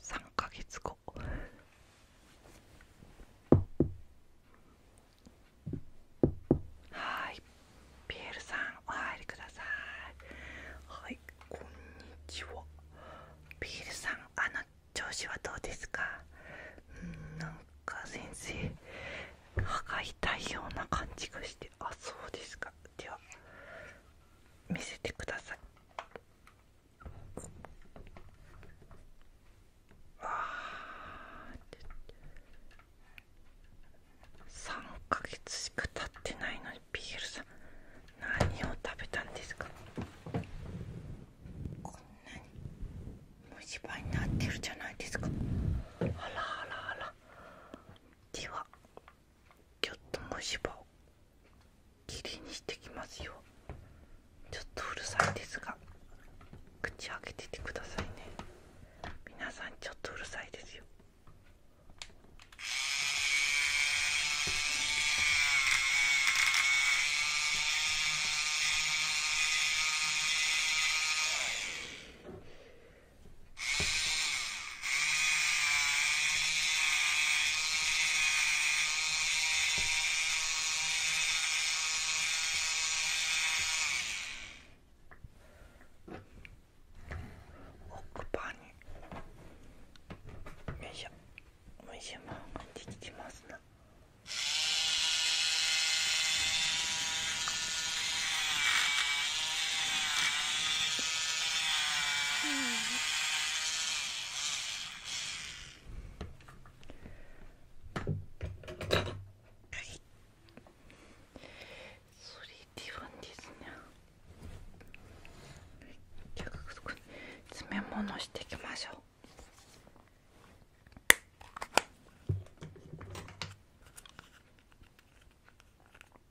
3ヶ月後はいピエールさんお入りくださいはいこんにちはピエールさんあの調子はどうですかうんなんか先生歯がたいような感じがしてあそうですかでは見せてください3ヶ月しか経ってないのにピールさん何を食べたんですかこんなに虫歯になってるじゃないですかあらあらあらではちょっと虫歯を切りにしてきますよちょっとうるさいですが口開けててくださいね皆さんちょっとうるさいですよ奥歯によいしょおいしいもんができてますな。Hmm. はいそれではですね詰め物していきましょう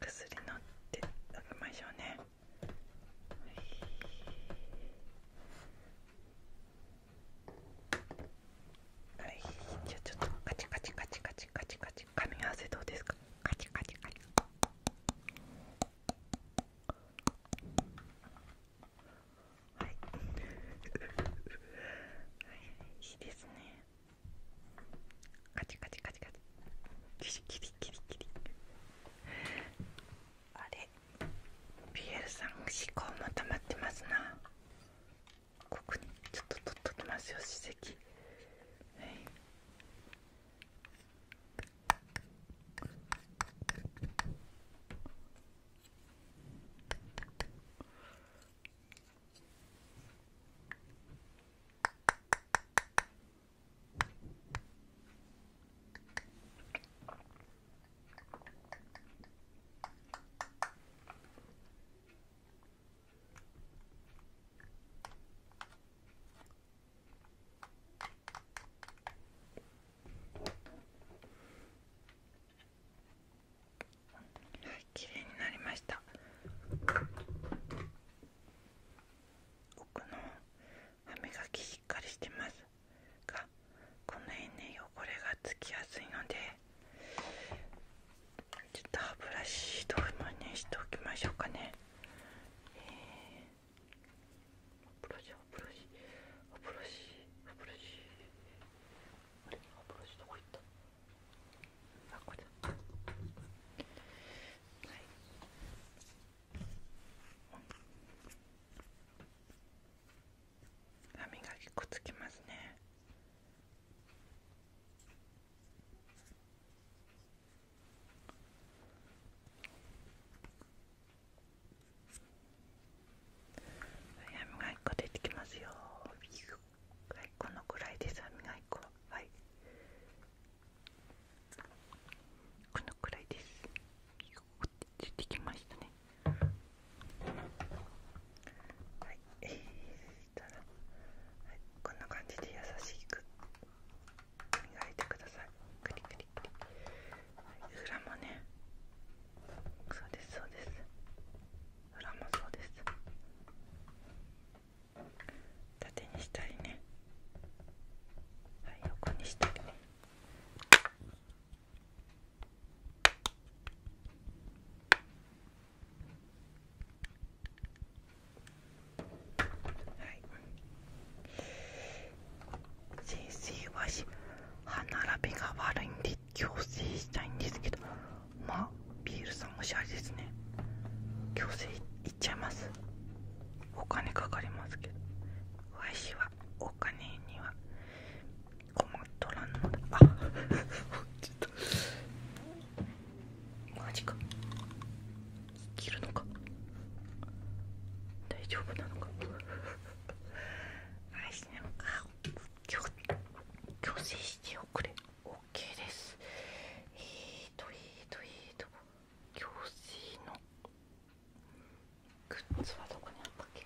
薬のってあげましょうねはいじゃあちょっとカチカチカチカチカチカチ噛み合わせどうですかカチカチカチはいはいいいですねカチカチカチカチキリキリキリあれピエールさん思考も溜まってますなここにちょっと取っときますよ史跡はいあはい、綺麗になりました。奥の歯磨きしっかりしてますがこの辺ね汚れがつきやすいのでちょっと歯ブラシどうもねしておきましょうかねえ歯ブラシ歯ブラシ歯ブラシ歯ブラシ歯ブラシどこ行ったあこれはい歯磨きくっつきますね歯磨き粉出てきますよはいこのくらいですあみがき粉はいこのくらいです出てきましたねはいえー、したら、はい、こんな感じで優しく磨いてくださいクリクリクリ、はい、裏もねそうですそうです裏もそうです縦にしたいねはい横にしたりねはい先生はし歯並びが悪いんで矯正したいんですけどまあビールさんもしゃれですね矯正ちゃいますお金かかりますけどわしはお金には困っとらんのょっとマジか切るのか大丈夫なのかあしねあ強強制しておくれ OK ですえーとえーとえーと教師のグッズはどこにあったっけ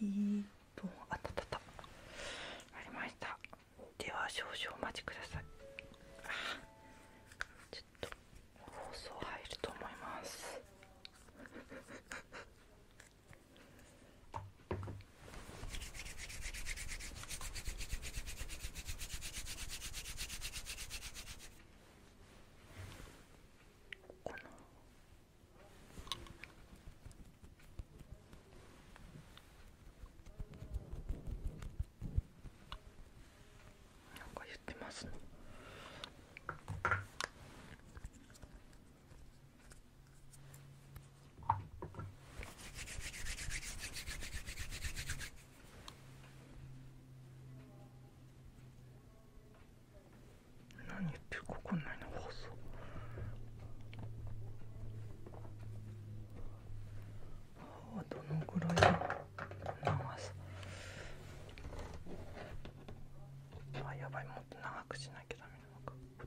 えーとあったあったあったありましたでは少々お待ちくださいあちょっと放送入ると思いますこのなんか言ってますね。何言ってるか分かんないどのぐらい長さあやばいもっと長くしなきゃダメなのかこっ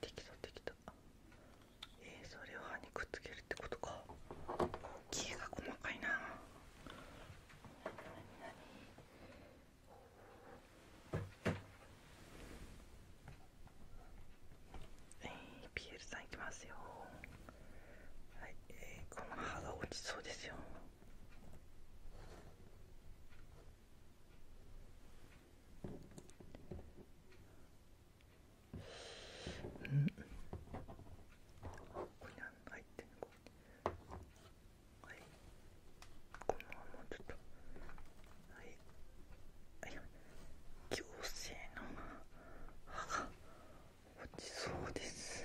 できたできたえー、それを歯にくっつけるってことか大きいが細かいななになにえー、ピエールさんいきますよはい、えー、この歯が落ちそうですようんここに入ってるここはいこのままちょっとはいはい矯正の歯が落ちそうです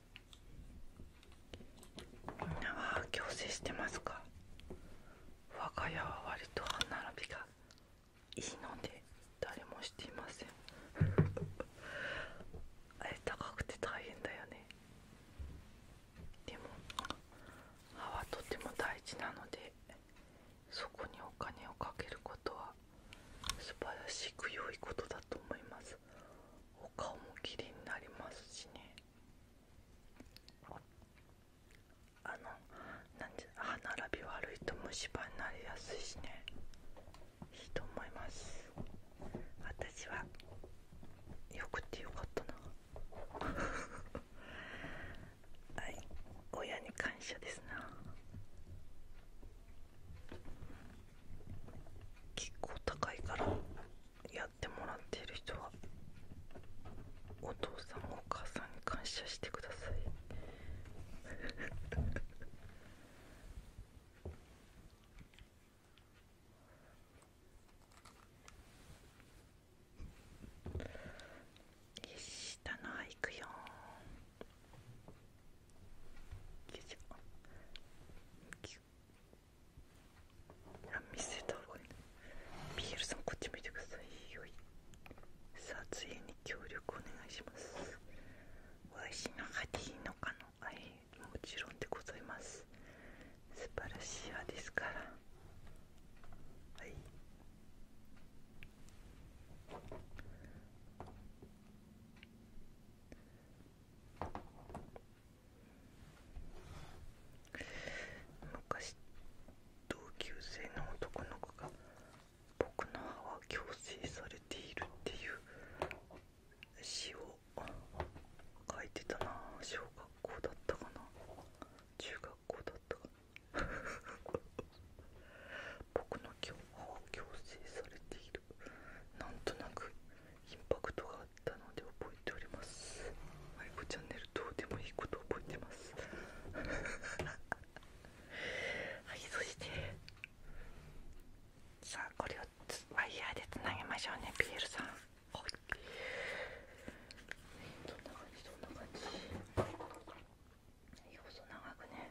みんなは矯正してますか我が家は割と歯並びがいいので誰もしていません あれ高くて大変だよねでも歯はとても大事なのでそこにお金をかけることはは素晴らしく良いことだと思いますお顔も綺麗になりますしねあのなんじ歯並び悪いと虫歯になりやすいしねいいと思います私はよくてよかったな はい親に感謝ですな結構高いからやってもらっている人はお父さんお母さんに感謝してくださいよし下のいくよい、見せた方がいいビールさんこっち見てくださいよい撮影に協力お願いしますおいしいのがでいいのかのはいもちろんでございます素晴らしい歯ですからはい昔同級生の男の子が僕の歯は矯正されているっていう詩を書いてたな小学校だったかな中学校だったかな 僕の今日歯は矯正されているなんとなくインパクトがあったので覚えておりますマリコチャンネルどうでもいいこと覚えてます はいそしてさあこれをワイヤーでつなげましょうねピ p ルさんはいどんな感じどんな感じ細長くね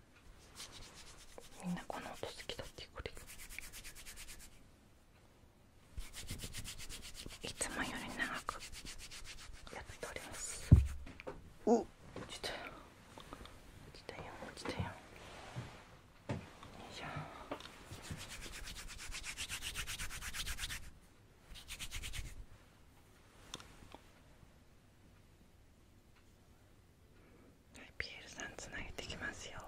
みんなこの音好きだってこれいつもより長くやっておりますお落ちたよ落ちたよ落ちたよよいしょはい、ピエールさんつなげてきますよは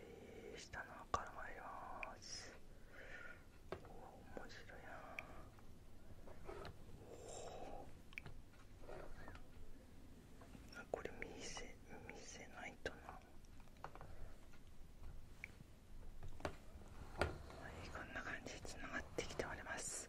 い下の赤から参すおお面白いなあこれ見せ見せないとなはいこんな感じでつながってきております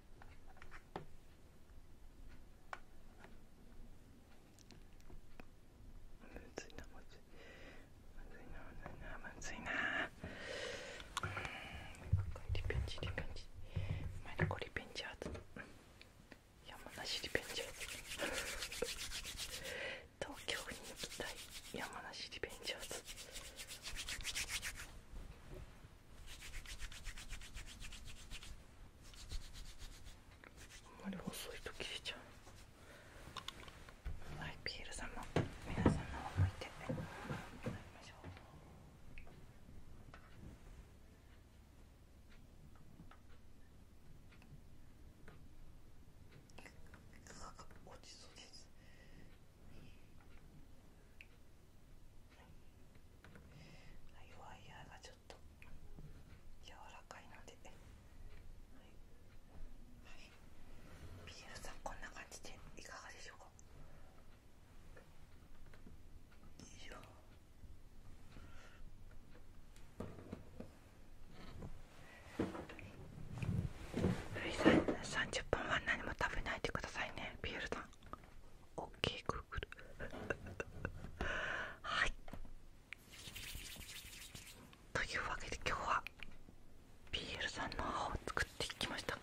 むずいなむずいなむずいなむずいな。リベンジリベンジマリコリベンジャーズ山梨リベンジャーズ東京に行きたい山梨リベンジャーズあんまり細いと消えちゃうはいピエールさんも皆さんの思向いてやりましょう落ちそうです。はい、ワイヤーがちょっと柔らかいので、はいはい、ールさんこんな感じでいかがでしょうかいいよはい、30分は何も食べないでくださいねビエルさんん OK グーグル はいというわけで今日は BL さんの歯を作っていきました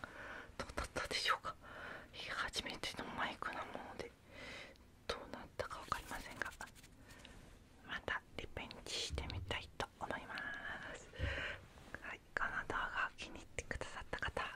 どうだったでしょうか初めてのマイクなものでどうなったか分かりませんがまたリベンジしてみたいと思いますはいカナダが気に入ってくださった方